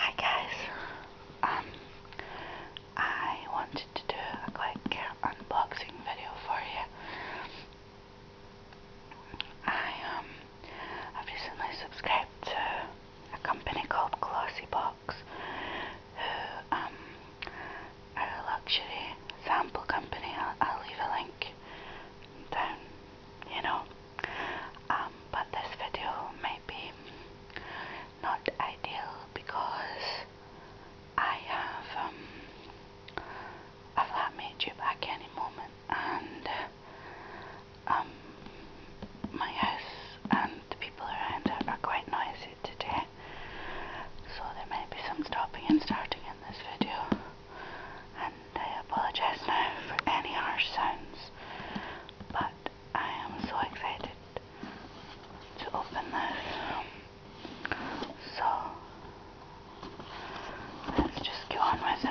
Hi guys, um, I wanted to do a quick unboxing video for you. I um, I've recently subscribed to a company called Glossy Box, who um, are a luxury sample company. I'll, I'll leave a link down, you know. Um, but this video may be not ideal because I have um, a flatmate due back any moment and um, my house and the people around it are quite noisy today so there may be some stopping and starting in this video I apologize now for any harsh sounds, but I am so excited to open this. So let's just go on with it.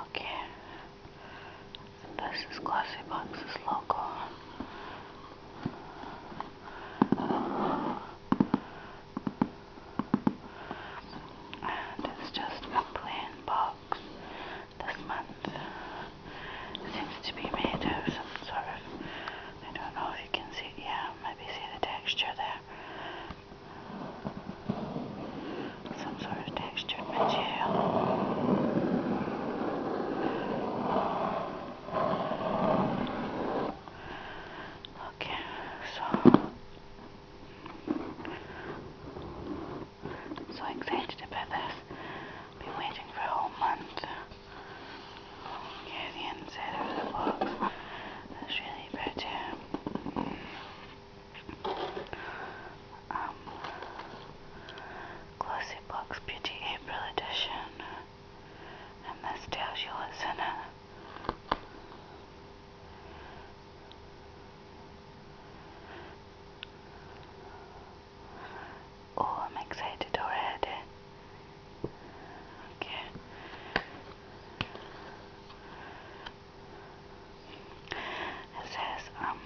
Okay, and this is Glossy Box's logo. And it's just a plain box this month. It seems to be made of some sort of, I don't know if you can see, yeah, maybe see the texture there. Some sort of textured material. Okay, so so excited about this. Been waiting for a whole month. Yeah, the inside of the box. That's really pretty. Um, Glossy Box Beauty April Edition and this tells you what's in it. Oh, I'm excited already. Okay. It says, um,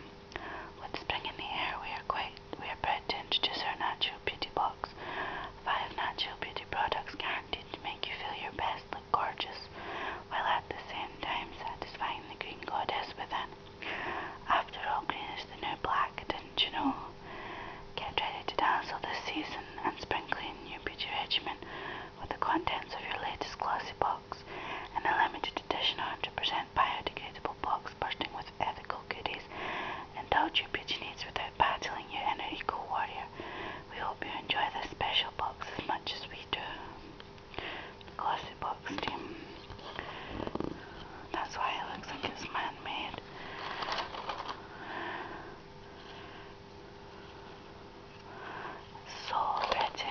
with spring the air, we are quite we are proud to introduce our natural beauty box. Five natural beauty products guaranteed to make you feel your best, look gorgeous, while at the same time satisfying the green goddess within. After all, green is the new black, didn't you know? Get ready to dazzle this season and sprinkle your beauty regimen with the contents of your latest glossy box in a limited edition 100% biodegradable box experimenting with ethical goodies indulge your beauty needs without battling your inner eco warrior. We hope you enjoy this special box as much as we do. Glossy box team. That's why it looks like it's man made. So pretty.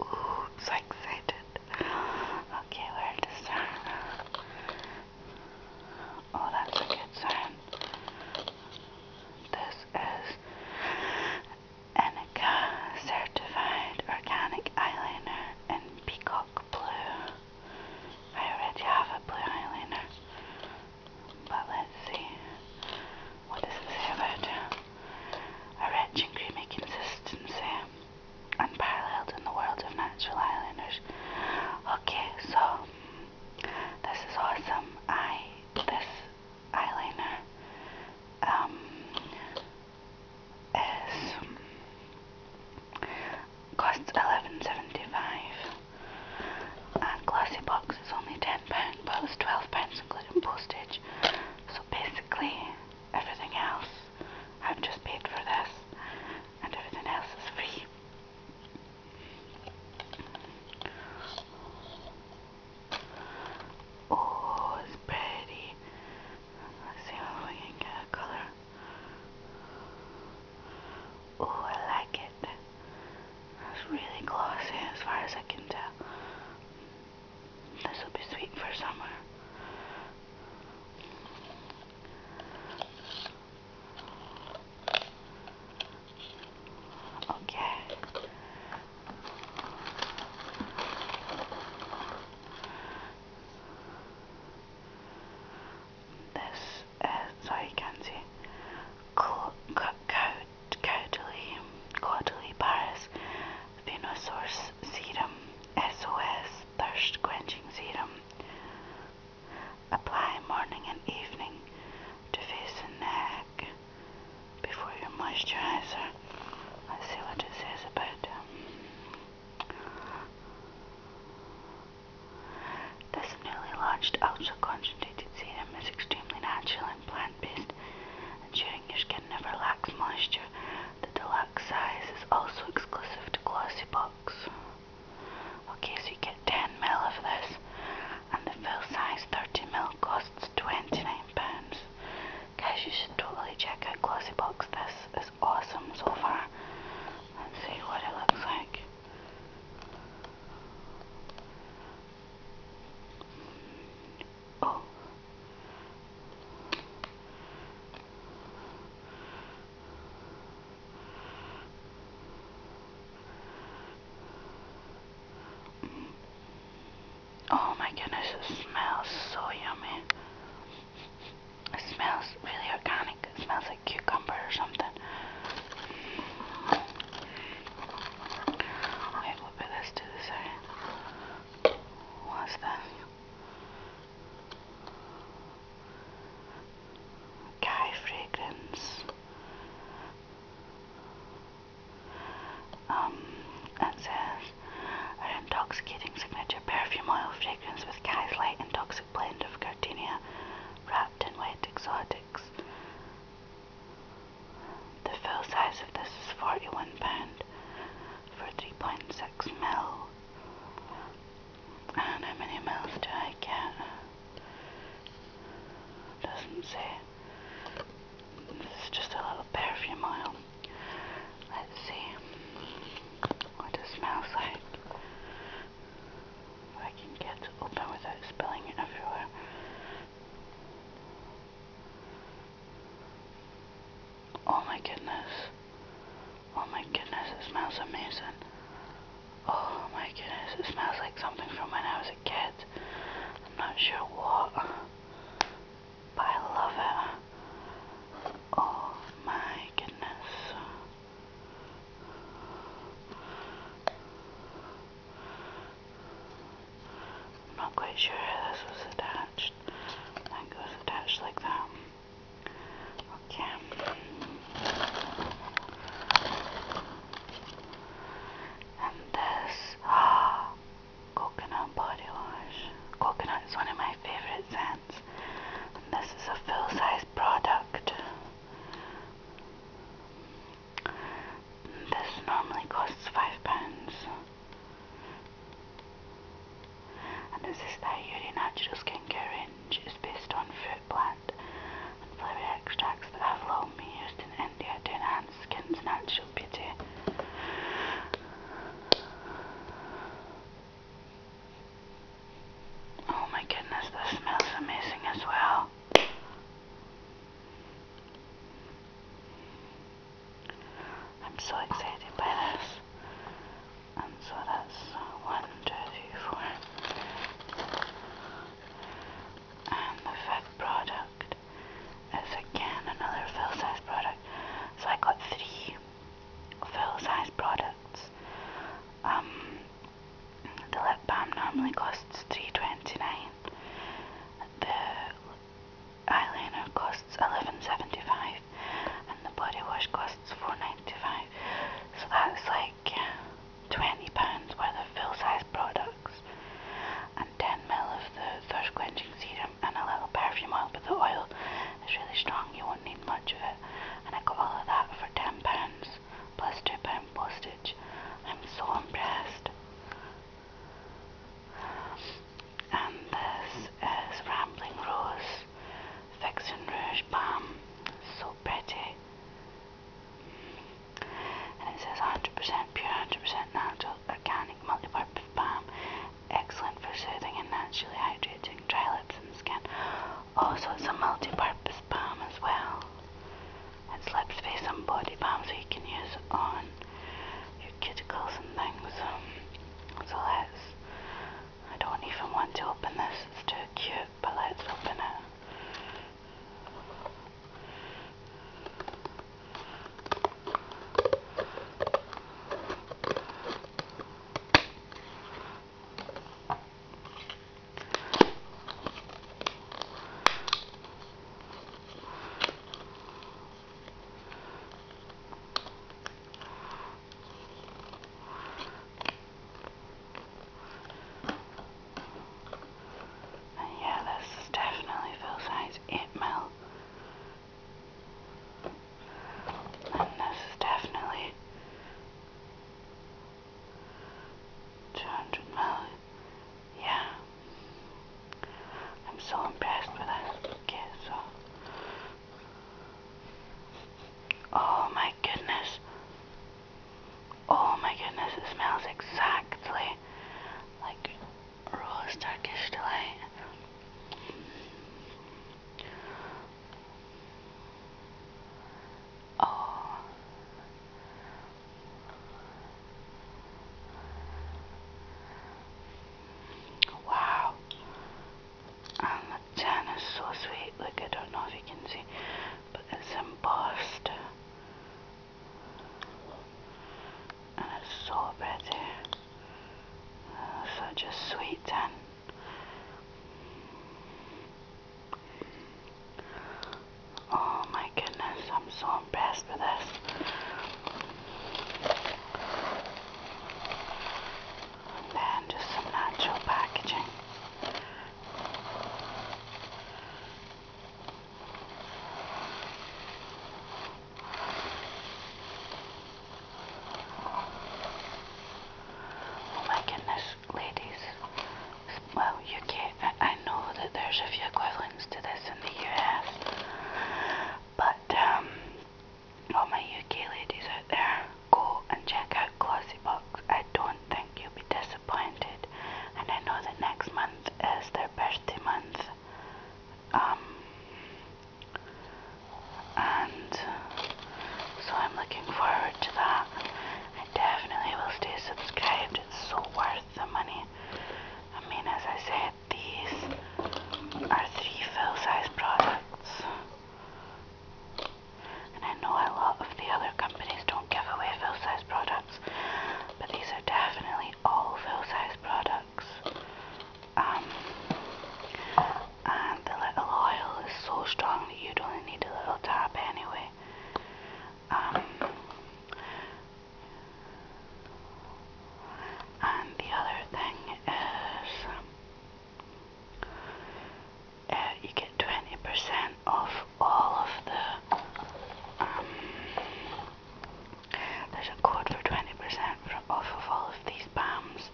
Ooh, I'm so excited. Okay, where to start? Oh, that's a good sign. This is Enica Certified Organic Eyeliner in Peacock Blue. I already have a blue eyeliner, but let's see. What does it say about a rich and creamy consistency? unparalleled in the world of natural eyeliners. Okay, so this is awesome. I this eyeliner um, is costs eleven seventy five. And uh, glossy box is only ten pounds, but it's twelve pounds including postage. So basically everything else I've just paid for this and everything else is free. Oh, it's pretty. Let's see if we can get a color. Oh, I like it. It's really glossy as far as I can tell. This will be sweet for summer. Okay. This sorry, can't see. Caudalie, Paris Venosaur's Serum SOS Thirst Quenching Serum. Apply morning and evening to face and neck before your moisturizer. Let's see what it says about um, this newly launched ultra concentrated serum is extremely natural and plant plant-based, ensuring your skin never lacks moisture. The deluxe size is also exclusive to Glossy Box. Okay, so you get 10 ml of this, and the full size 30 ml costs 29 pounds. Guys, you should totally check out Glossy Box. This is awesome so far. Let's see what it looks like. Oh. oh my goodness, it smells so yummy. It smells really organic. It smells like cucumber or something. Wait, we'll put the side. What's that? Guy fragrance. Um, it says an intoxicating signature perfume oil fragrance with Guy's light and blend of gardenia wrapped in wet exotics. The fill size of this is £41 for 3.6 mil. And how many mils do I get? Doesn't say. This is just a little perfume oil. Let's see what it smells like. If I can get open without spilling it everywhere. Oh my goodness. Oh my goodness, it smells amazing. Oh my goodness, it smells like something from when I was a kid. I'm not sure what, but I love it. Oh my goodness. I'm not quite sure how this was attached. I think it was attached like that. Okay. And this ah, coconut body wash. Coconut is one of my favorite scents. And this is a full size product. This normally costs five pounds. And this is the Yuri Natural Skincare range. It's based on fruit plant and flower extracts that have long been used in India to enhance skin's natural beauty. Oh my goodness, this smells amazing as well. I'm so excited by this. And so that's one, two, three, four. And the fifth product is again another full size product. So I got three full size products. Um, the lip balm normally costs three twenty-nine. The eyeliner costs 11.75, and the body wash costs 4.95. So that's like 20 pounds worth of full-size products, and 10 ml of the thirst quenching serum and a little perfume oil. But the oil is really strong; you won't need much of it. And I got all of that for 10 pounds plus 2 pound postage. I'm so impressed. And this is Rambling Rose Fiction Rouge Balm. So pretty. And it says 100% pure, 100% natural, organic, multi-purpose balm. Excellent for soothing and naturally hydrating dry lips and skin. Also, it's a multi-purpose balm as well and slips be some body balms you can use on your cuticles and things. Um, let's, I don't even want to open this, it's too cute, but let's open it. And yeah, this is definitely full size 8 And this is definitely 200 million. Yeah. I'm so impressed with that. Okay, so. Oh my goodness. Oh my goodness, it smells exactly like Rose Turkish Delight all. Oh. Wow. And um, the tan is so sweet. Look, I don't know if you can see, but it's embossed. And it's so pretty. such a sweet tan. Oh my goodness, I'm so impressed with this. And just some natural packaging. Oh my goodness, ladies. Well, UK, I, I know that there's a few equivalents to this in the US, but um, all my UK ladies out there, go and check out Glossy Box. I don't think you'll be disappointed, and I know that next month is their birthday month. Um, and so I'm looking forward to that. I definitely will stay subscribed. It's so worth the money. I mean, as I said, these are three full size products. And I know a lot of the other companies don't give away full size products, but these are definitely all full size products. Um, and the little oil is so strong that you don't need a little dab anyway. Um, and the other thing is uh, you get 20% off all of the um, there's a code for 20% off of all of these bombs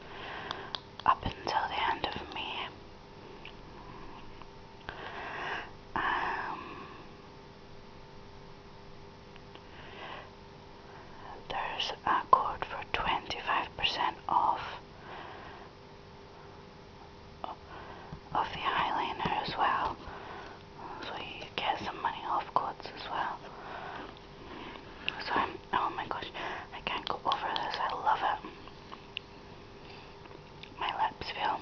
up until the end of May um, there's a code for 25% off of the Highlander as well. So you get some money off codes as well. So I'm, oh my gosh, I can't go over this. I love it. My lips feel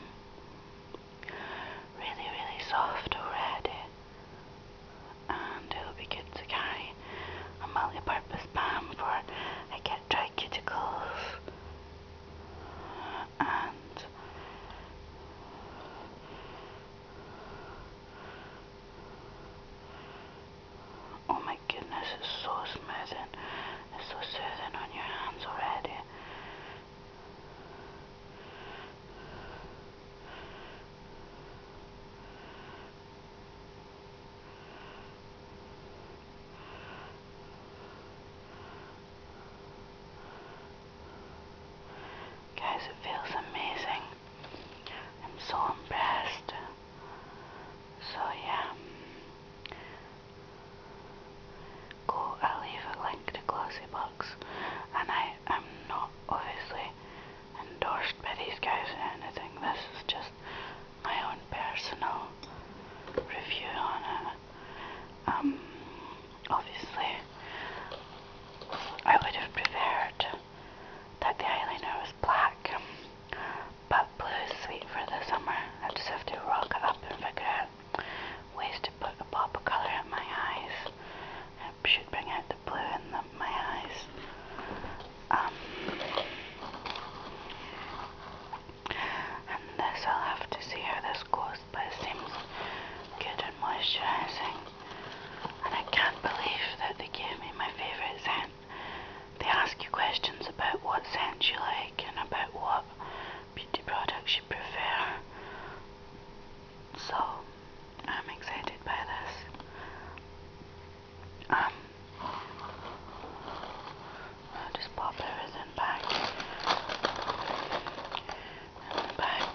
really, really soft already. And it'll be good to carry a multi-purpose balm for I get dry cuticles. And oh my goodness, it's so smooth it's so soothing on your hands already. Guys, it feels amazing. I'm so impressed. So, yeah, Go, I'll leave a link to Glossy Books, and I am not obviously endorsed by these guys or anything. This is just my own personal review on it. Um, obviously, I would have preferred that the eyeliner was black, but blue is sweet for the summer. I just have to rock up and figure out ways to put a pop of color in my eyes. I should bring out the blue in the, my eyes. Um, and this, I'll have to see how this goes, but it seems good and moisturizing. And I can't believe that they gave me my favorite scent. They ask you questions about what scent you like and about what beauty products you prefer. So, I'm excited by this. Um, I'll just pop everything back in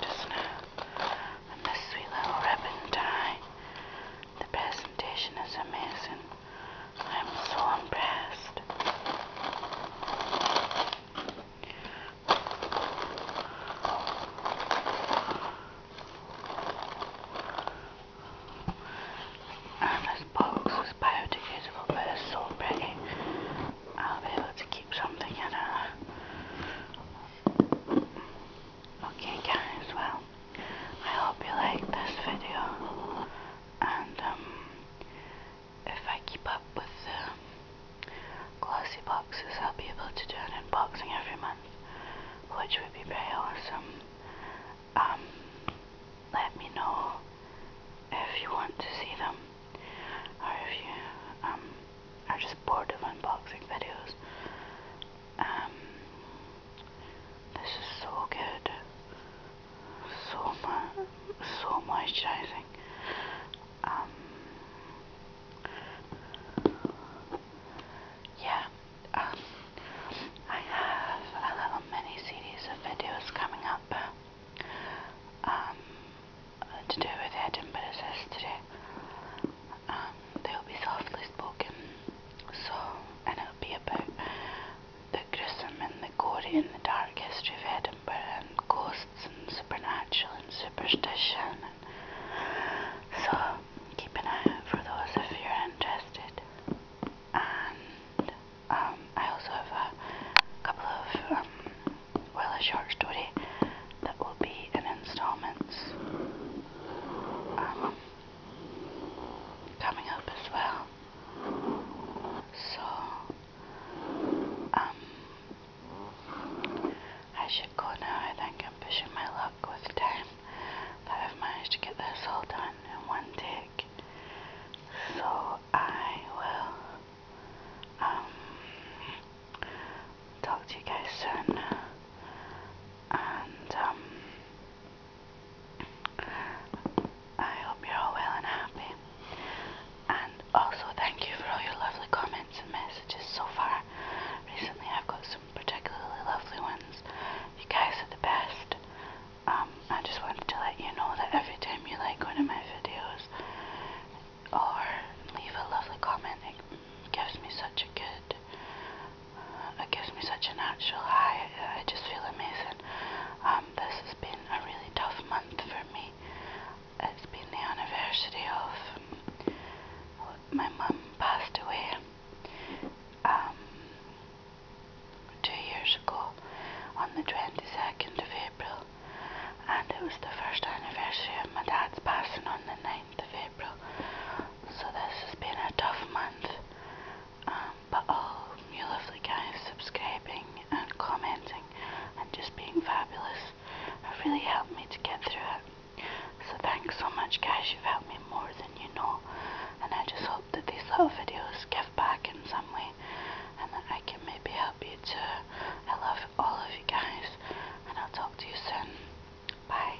just now. And this sweet little ribbon tie. The presentation is amazing. I'm so impressed. And this box is biodegradable, but it's so pretty. I'll be able to keep something in it. Okay, guys, well, I hope you liked this video and um, if I keep up with the glossy boxes, I'll be able to do an unboxing every month, which would be very awesome. Um, let me know if you want to see them, or if you um, are just bored of unboxing videos. This is so good. So much, so moisturizing. Um, yeah, um, I have a little mini series of videos coming up um, to do with Edinburgh's history. Um, they'll be softly spoken, so and it'll be about the Grissom and the Gory and the Dark History of Edinburgh and ghosts and supernatural and superstition. so keep an eye out for those if you're interested. And um, I also have a couple of, um, well, a short story that will be in installments. Um, coming up as well. So, um, I should go now. I think I'm pushing my luck with time, but I've managed to get this all done in one take. So, I will, um, talk to you guys soon. And, um, I hope you're all well and happy. And also, thank you for all your lovely comments and messages so far. Recently, I've got some particularly lovely ones. You guys are the best. Um, I just wanted to let you know that every time you like one of my videos or leave a lovely comment, it gives me such a good it gives me such a natural high. I, just feel amazing. Um, this has been a really tough month for me. It's been the anniversary of my mum passed away um, two years ago on the 22nd of April, and it was the first anniversary of my dad's passing on the 9th of April. So this has been a tough month um, but all oh, you lovely guys subscribing and commenting and just being fabulous have really helped me to get through it. So thanks so much guys, you've helped me more than you know and I just hope that these little videos give back in some way and that I can maybe help you too. I love all of you guys and I'll talk to you soon. Bye.